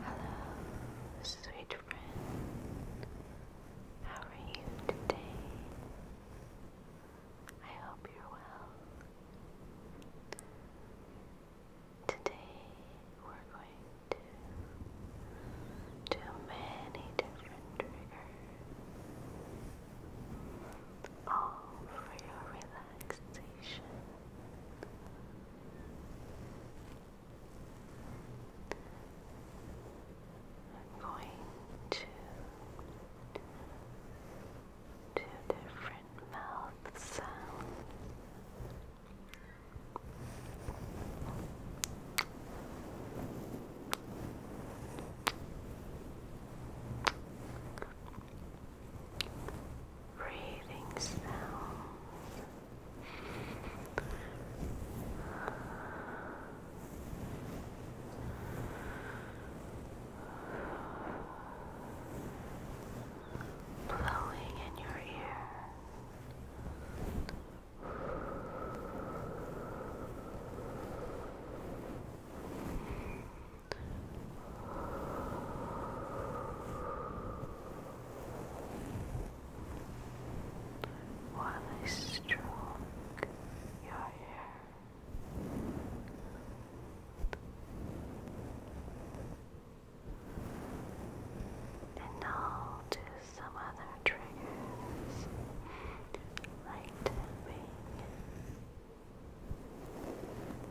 Hello, sweet friend. How are you today? I hope you're well. Today we're going to do many different triggers all for your relaxation. I'm going to do different mouth sounds breathing sounds. Blowing in your ear. While I stroke your hair. And I'll do some other triggers like tapping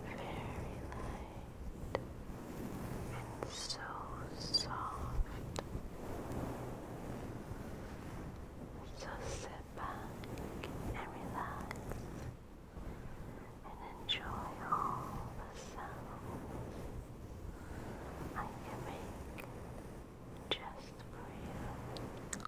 very light and so soft. So sit back and relax and enjoy all the sounds I can make just for you.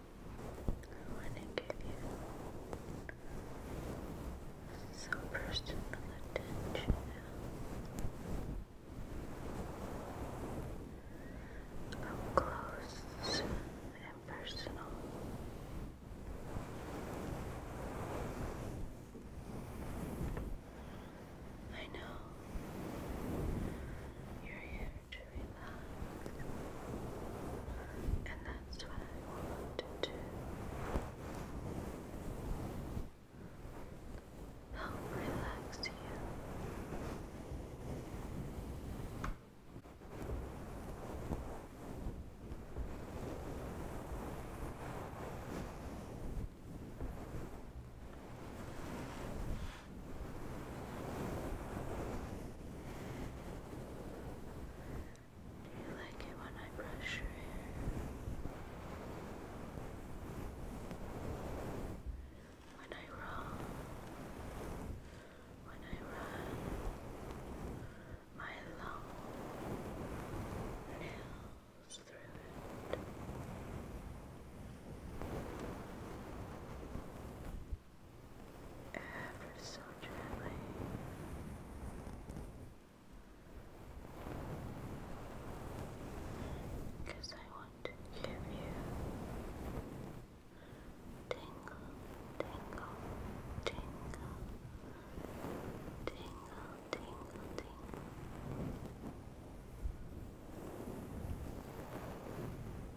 I want to give you some personal attention. Up close and personal. I know you to relax, and that's what I want to Help relax you. Do you like it when I brush your hair? When I roll? When I run? My long nails through it ever so gently. Because I want to give you tingle, tingle, tingle, tingle, tingle, tingle.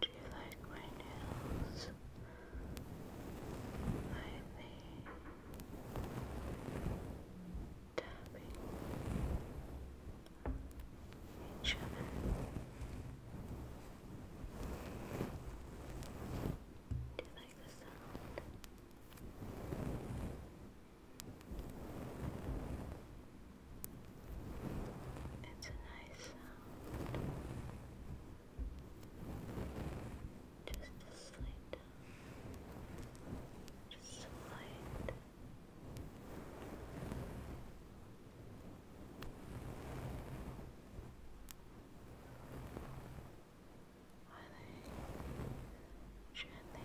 Do you like my nails? Are tapping each other? Do you like the It's a nice sound. Just a slight Just slight. Just are they? touch your hair?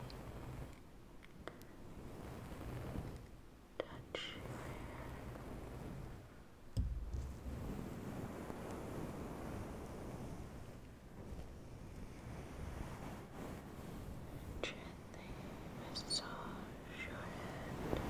Gently massage your head.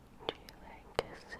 like kisses.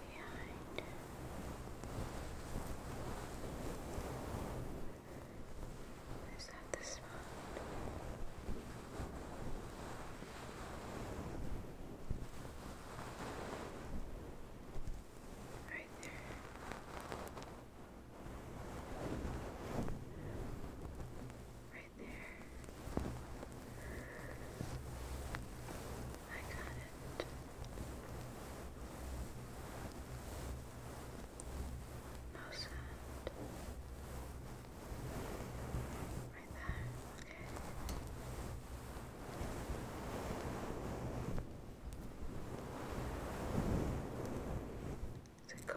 behind. Is that the spot? Right there. Right there. I got it. No sound. Right there, okay. Is it gone?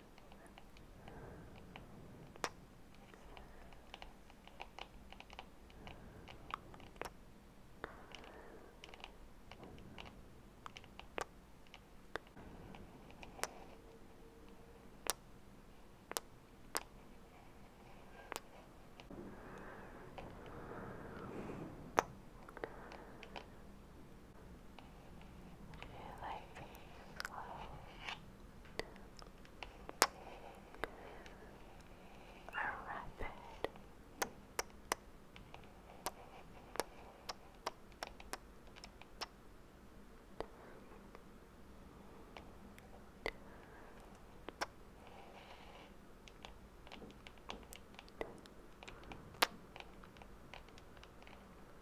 Do you like these clothes? A rapid. A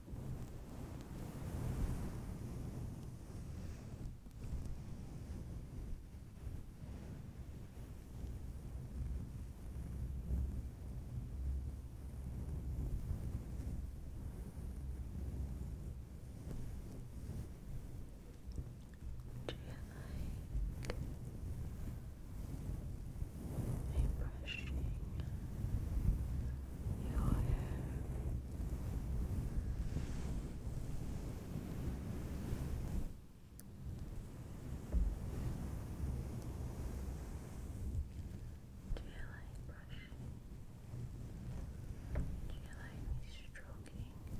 brushing your hair? Do you like brushing? Do you like me stroking? Good.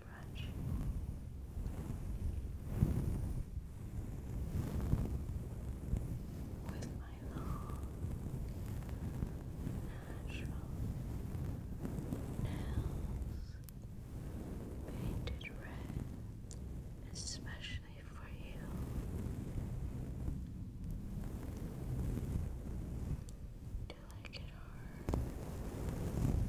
brush. With my long, natural nails painted red, especially for you. Do you like it hard?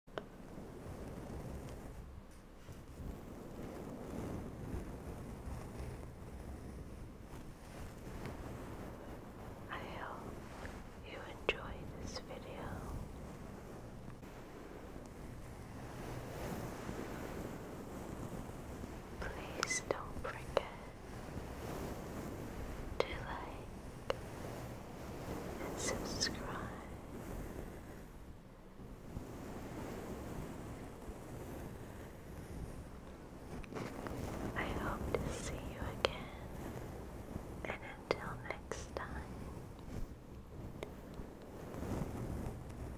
I hope you enjoy this video. Please don't forget to like and subscribe. I hope to see you again, and until next time,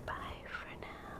bye for now.